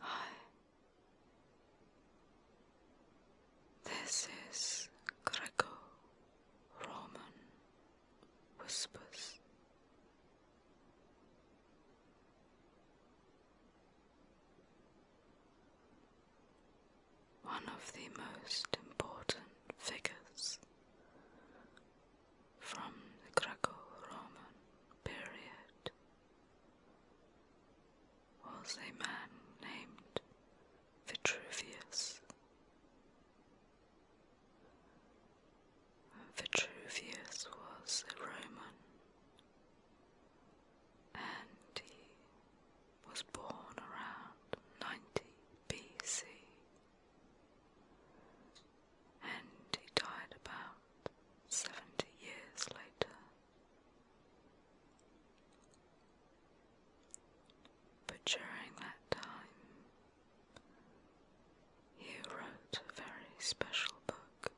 Hi. This is Greco Roman Whispers. One of the most important figures from the Greco-Roman period was a man named Vitruvius. Vitruvius was a Roman and he was born around 90 BC and he died about 70 years later. But during that time, he wrote a very special book.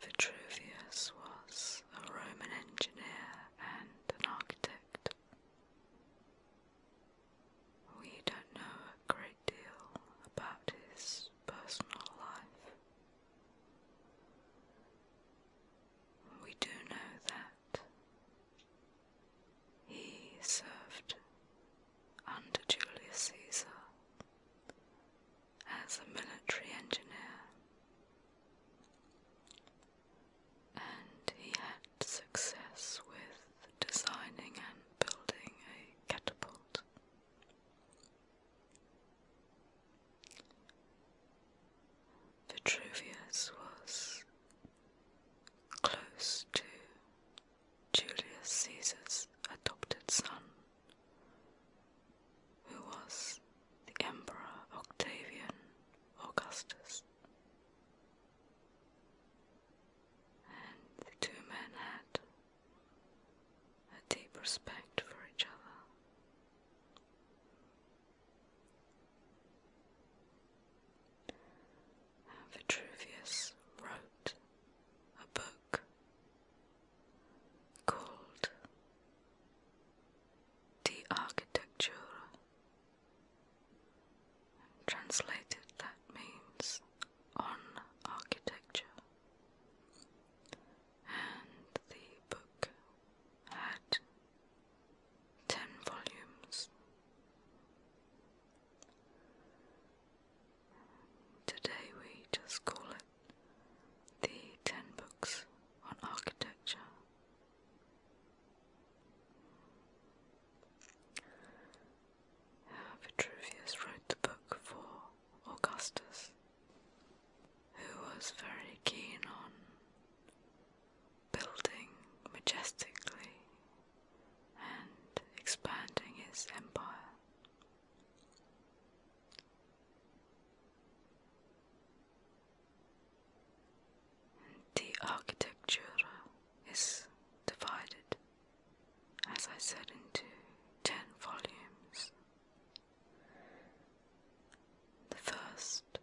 Vitruvius was a Roman engineer and an architect. We don't know a great deal about his personal life. We do know that he served under Julius Caesar as a military engineer and he had success with designing and building a catapult. Vitruvius was close to Julius Caesar's adopted son, who was the Emperor Octavian Augustus and the two men had a deep respect for each other. Vitruvius wrote a book called De Architectura Translated, that means on architecture. And the book had ten volumes. Today we just call it the Ten Books on Architecture Vitruvius wrote the book for Augustus, who was very keen on building majestically and expanding his empire. The architecture is divided, as I said, into ten volumes. The first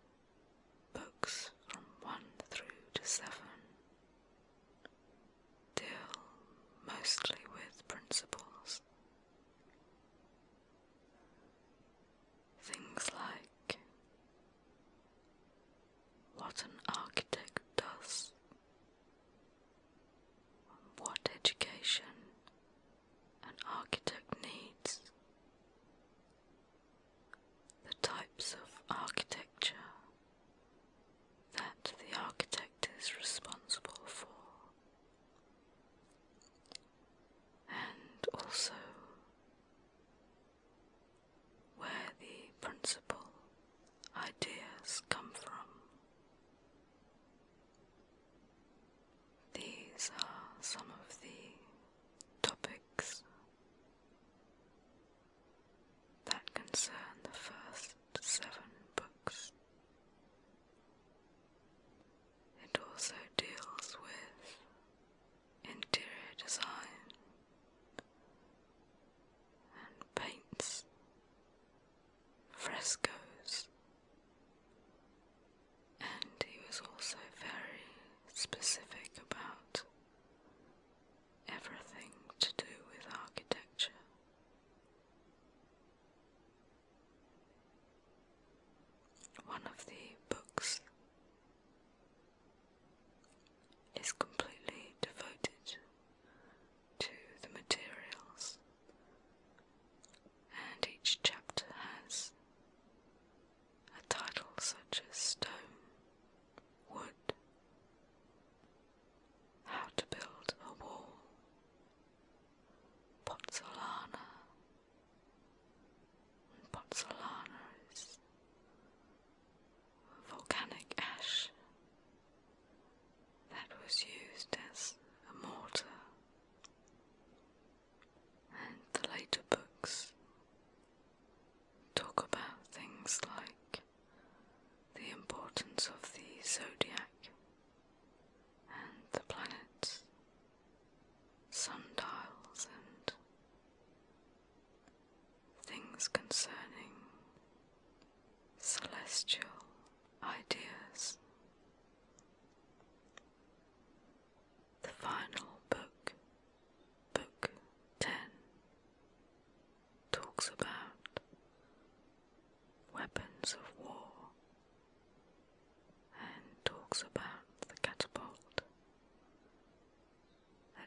books from one through to seven deal mostly with principles. Things like what an architect does, what education an architect needs, the types of architecture that the architect is responsible for. And also where the principal ideas come from. These are some of the topics that concern the first seven books. It also deals with interior design and paints frescoes. And he was also very specific about everything to do with architecture. One of the books is completely devoted to the materials, and each chapter has a title such as Stone, Wood, How to Build a Wall, Pozzolana, Pozzolanos, volcanic ash that was used as a mortar, and the later books talk about things like the importance of the zodiac and the planets, sundials, and things concerning celestial ideas. The final book, Book 10, talks about weapons of war and talks about the catapult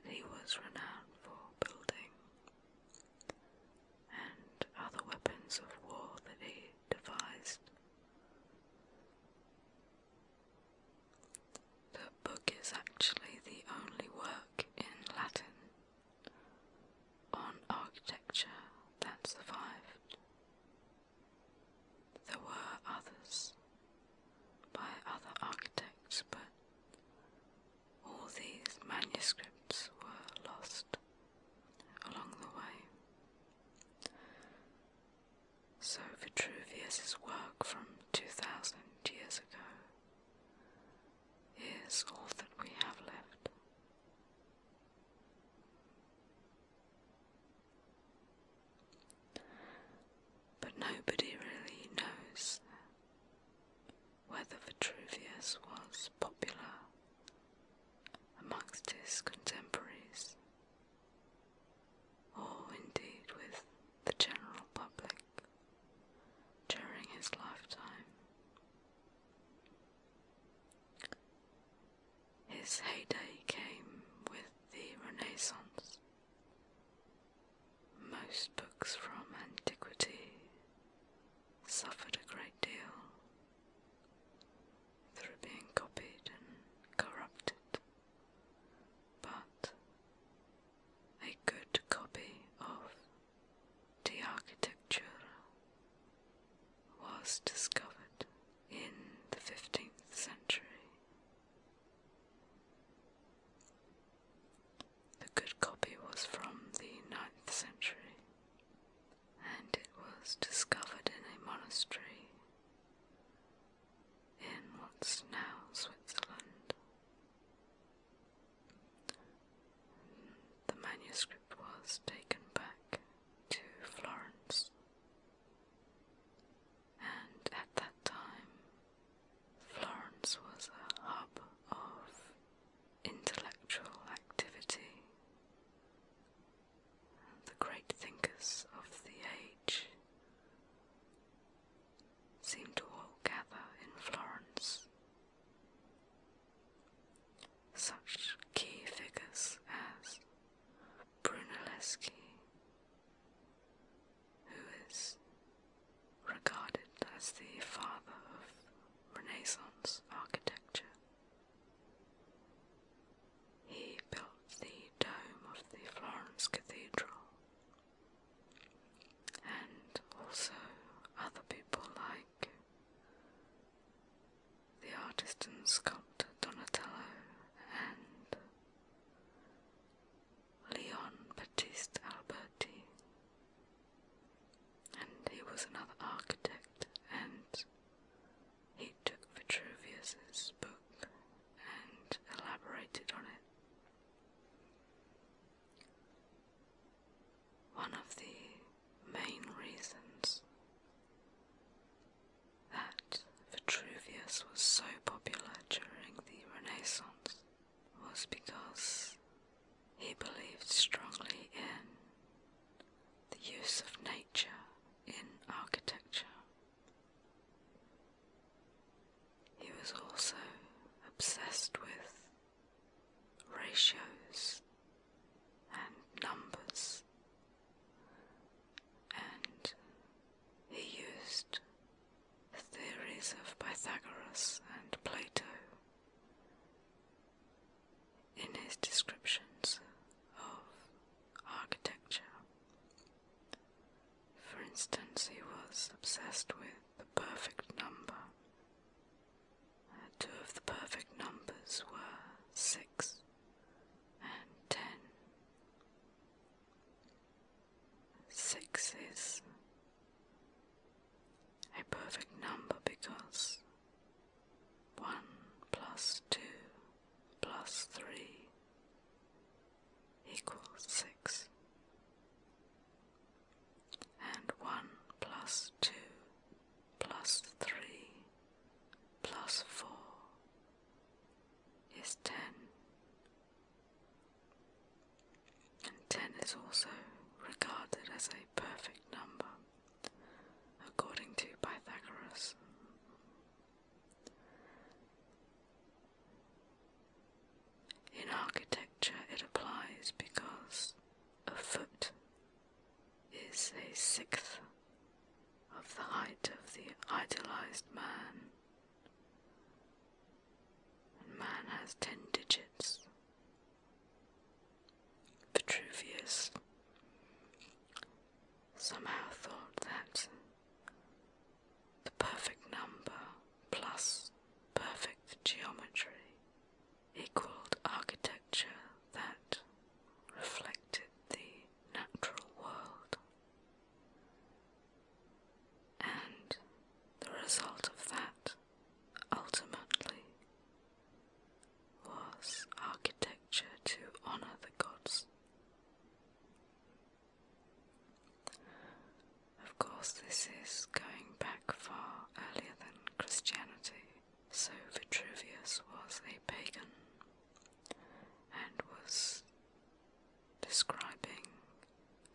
that he was renowned for building, and other weapons of war that he devised. The book is actually the only work in Latin on architecture that survived. There were others by other architects, but all these manuscripts were lost along the way. So Vitruvius's work from 2000 years ago is all that we have left. But nobody really knows whether Vitruvius was popular amongst his contemporaries or indeed with the general public during his lifetime. His heyday came with the Renaissance. Most books from antiquity suffered a great deal through being copied and corrupted, but a good copy of the architecture was discovered in the 15th century the good copy was from the ninth century and it was discovered in a monastery in what's now Switzerland. The manuscript was taken back to Florence and at that time, Florence was a hub of intellectual activity. The great thinkers of the age seemed to all gather in Florence. Such key figures as Brunelleschi, who is regarded as the father of Renaissance architecture. He built the dome of the Florence Cathedral, and also other people like the artist and sculptor Donatello and Leon Baptiste Alberti, and he was another architect, and he took Vitruvius's book and elaborated on it. One of the main reasons that Vitruvius was so popular during the Renaissance was because he believed strongly in the use of nature in architecture. He was also obsessed with ratios and numbers and he used the theories of Pythagoras and Plato in his descriptions of architecture. For instance, he was obsessed with the perfect number. Uh, two of the perfect numbers were six and ten. Six is a perfect number because one plus two plus three equals six, and one plus two plus three plus four is 10. And 10 is also regarded as a perfect number, according to Pythagoras. In architecture, it applies because a foot is a sixth of the height of the idealized man Man has ten digits. Vitruvius somehow thought that the perfect number plus perfect geometry equaled architecture that reflected the natural world. And the result of that ultimately was architecture to honor the gods. Of course, this is going back far earlier than Christianity, so Vitruvius was a pagan and was describing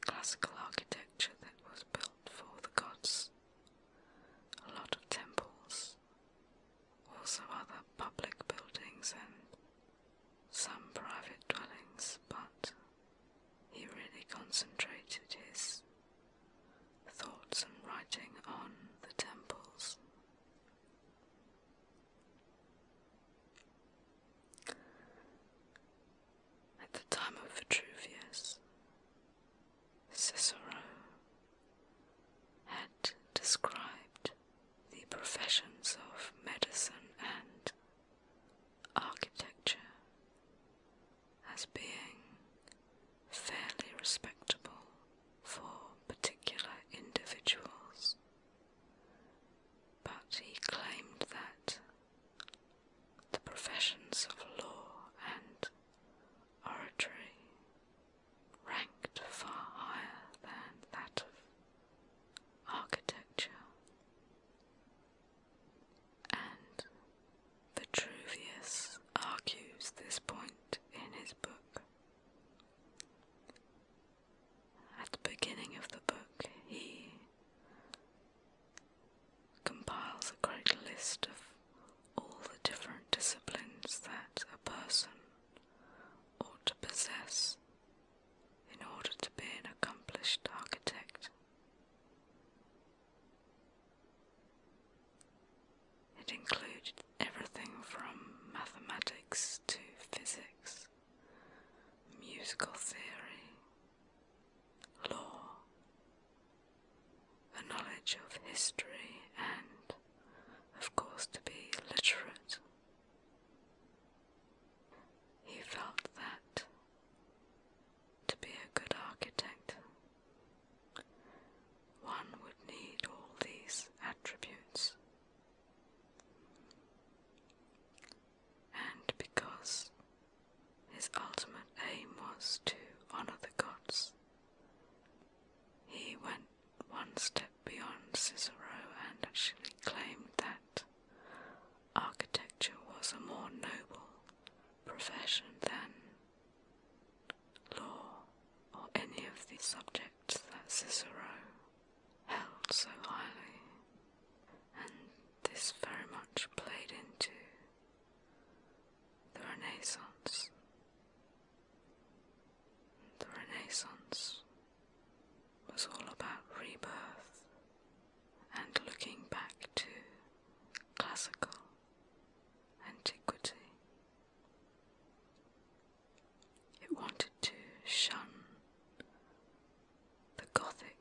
classical architecture that was built for the gods. A lot of temples, also other public buildings and some private dwellings, but he really concentrated his thoughts and writing on the temples. At the time of Vitruvius, Cicero had described the professions of medicine and architecture as being fairly respectable for particular individuals but he claimed that the professions of law and oratory ranked far higher than that of architecture, and Vitruvius argues this point in his book. At the beginning of the book, he compiles a great list of all the different disciplines that a person ought to possess in order to be an accomplished architect. It includes everything from mathematics to physics, musical theory, law, a knowledge of history, and, of course, to be literate. He felt that to be a good architect, one would need all these attributes. And because his ultimate aim was to honor the gods, he went one step beyond Cicero and actually claimed that architecture was a more noble profession than law or any of the subjects that Cicero held so highly, and this very much played into the Renaissance. The Renaissance was all about rebirth and looking back to classical antiquity. It wanted to shun the Gothic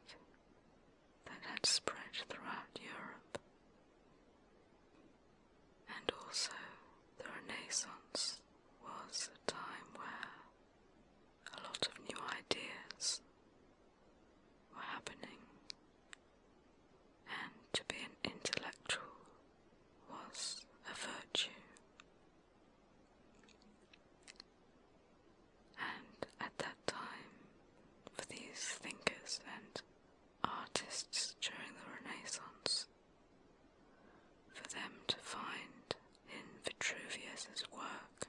that had spread throughout Europe, and also the Renaissance was a time where a lot of new ideas were happening, and to be an intellectual was a virtue. And at that time, for these thinkers and artists during the Renaissance, for them to find in Vitruvius's work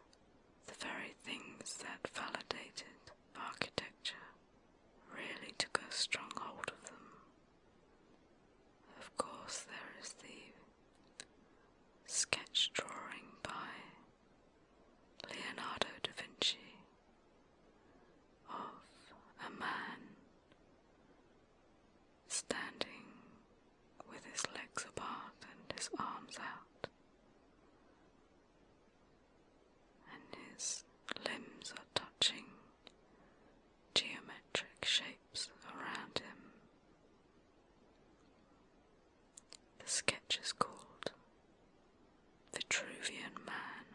the very things that validated architecture really took a strong hold of them of course, there is the sketch drawing by Leonardo da Vinci of a man standing with his legs apart and his arms out, and his limbs are touching geometric shapes around him. The sketch is called Vitruvian Man,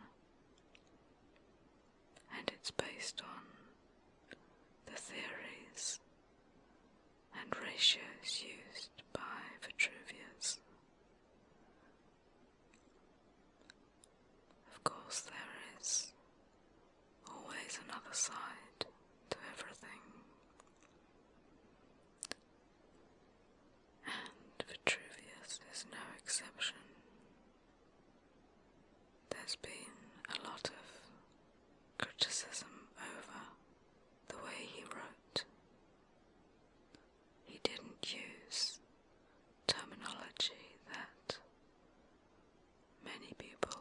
and it's based on the theories and ratios used by Vitruvius. Of course, there is Always another side to everything. And Vitruvius is no exception. There's been a lot of criticism over the way he wrote. He didn't use terminology that many people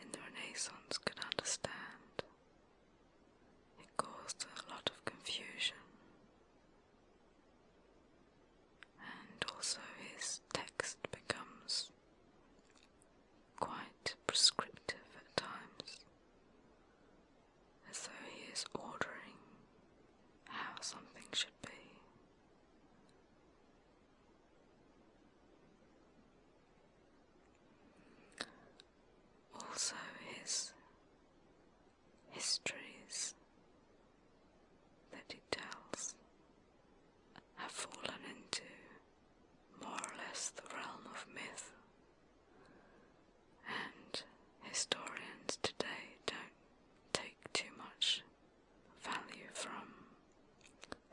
in the Renaissance could understand. It caused a lot of confusion, and also his text becomes quite prescriptive at times, as though he is ordering how something should be. Also, his histories that he tells have fallen into more or less the realm of myth, and historians today don't take too much value from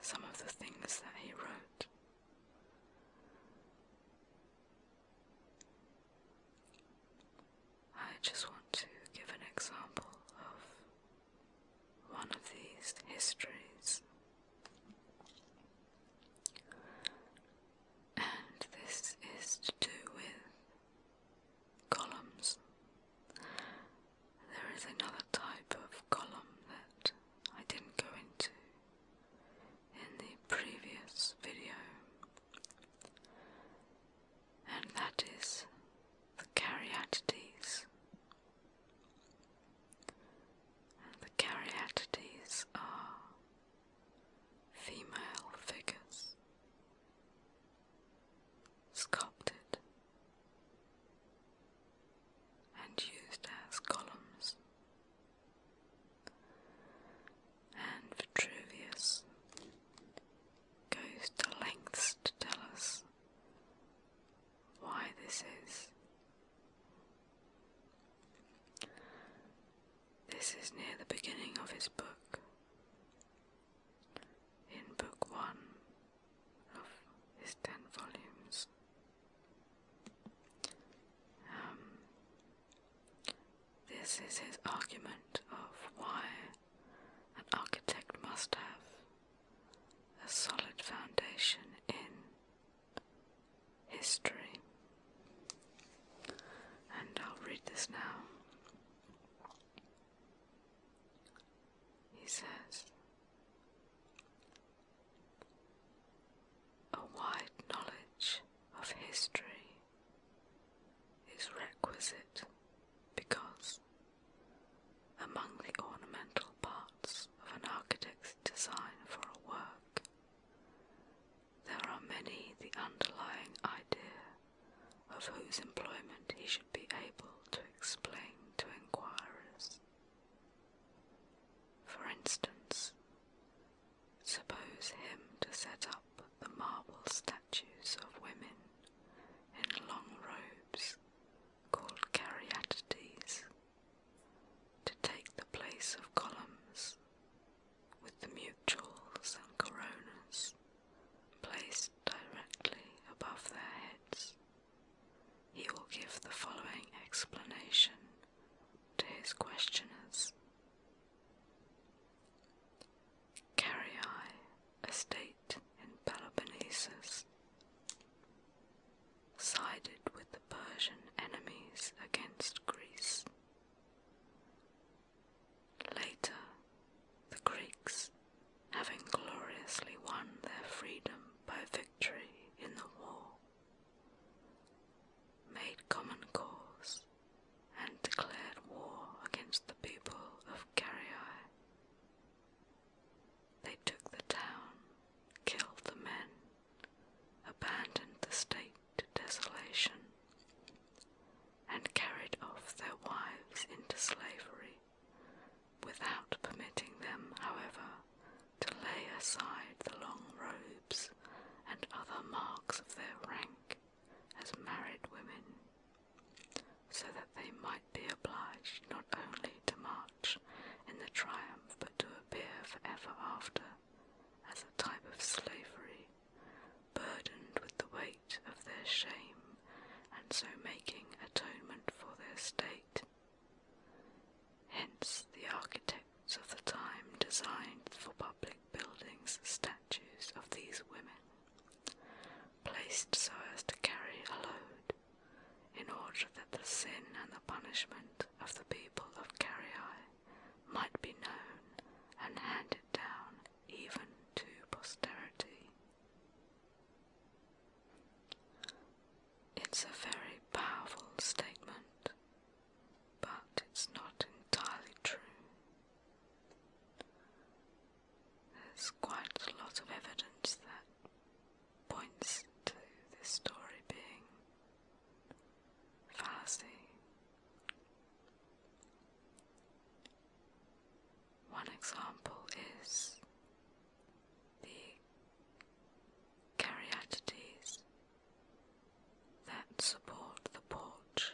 some of the things that he wrote. I just want to give an example of one of these histories. And this is to do with columns. There is another type of column that I didn't go into in the previous video, and that is the Caryatides. the Caryatides are female figures sculpted and used as columns. And Vitruvius goes to lengths to tell us why this is. This is near the beginning of his book. In Book One, of his ten volumes. Um, this is his argument of why an architect must have a solid foundation in history. And I'll read this now. He says, a wide knowledge of history is requisite because, among the ornamental parts of an architect's design for a work, there are many the underlying idea of whose employment he should be able to explain to inquirers. For instance, suppose him to set up the marble statues of women in long robes called caryatides to take the place of columns with the mutules and coronas placed directly above their heads. He will give the following explanation to his questioners. Carrii, a state in Peloponnesus, sided with the Persian enemies against Greece. Later, the Greeks having gloriously won their freedom by victory in the war, made common cause and declared war against the people of Caryae. They took the town, killed the men, abandoned the state to desolation, and carried off their wives into slavery without permitting them, however, to lay aside the long robes and other marks of their rank as married women, so that they might be obliged not only to march in the triumph but to appear forever after as a type of slavery, burdened with the weight of their shame, and so making atonement for their state. Hence, the architects of the time designed for public buildings statues of these women, placed so as to carry a load, in order that the sin and the punishment of the people of Caryae might be known and handed down even to posterity. It's a very powerful statement, but it's not entirely true. There's quite a lot of evidence that points to this story being fallacy. One example is the caryatides that support the porch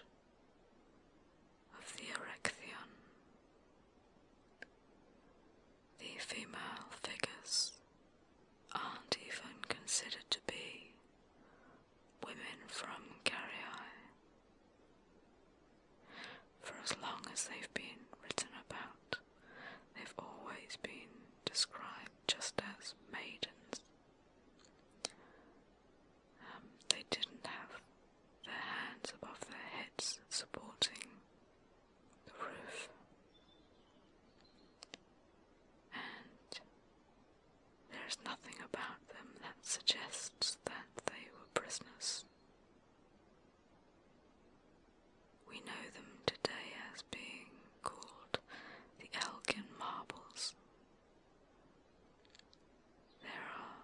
of the Erechtheion. The female figures aren't even considered to be women from Caryae. For as long as they've been written about, they've always been described just as maidens. Um, they didn't have their hands above their heads supporting the roof. And there is nothing about them that suggests that they were prisoners we know them today as being called the Elgin Marbles. There are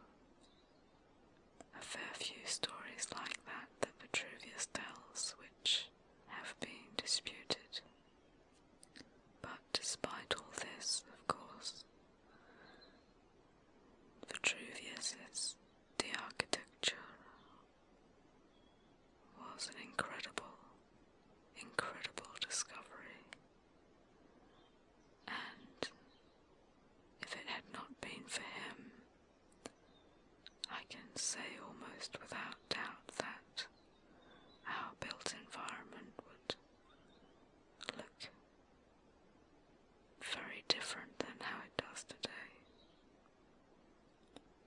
a fair few stories like that that Vitruvius tells, which have been disputed. But despite all this, of course, Vitruvius's the architecture was an incredible, incredible discovery, and if it had not been for him, I can say almost without doubt that our built environment would look very different than how it does today.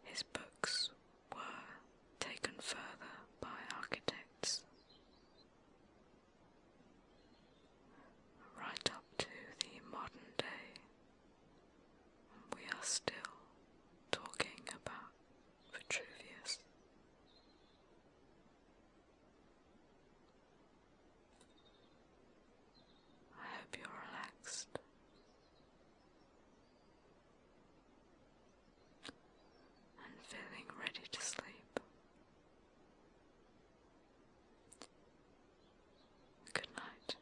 His books were taken further by architects right up to the modern day. We are still talking about Vitruvius. I hope you're relaxed. And feeling ready to sleep. Good night.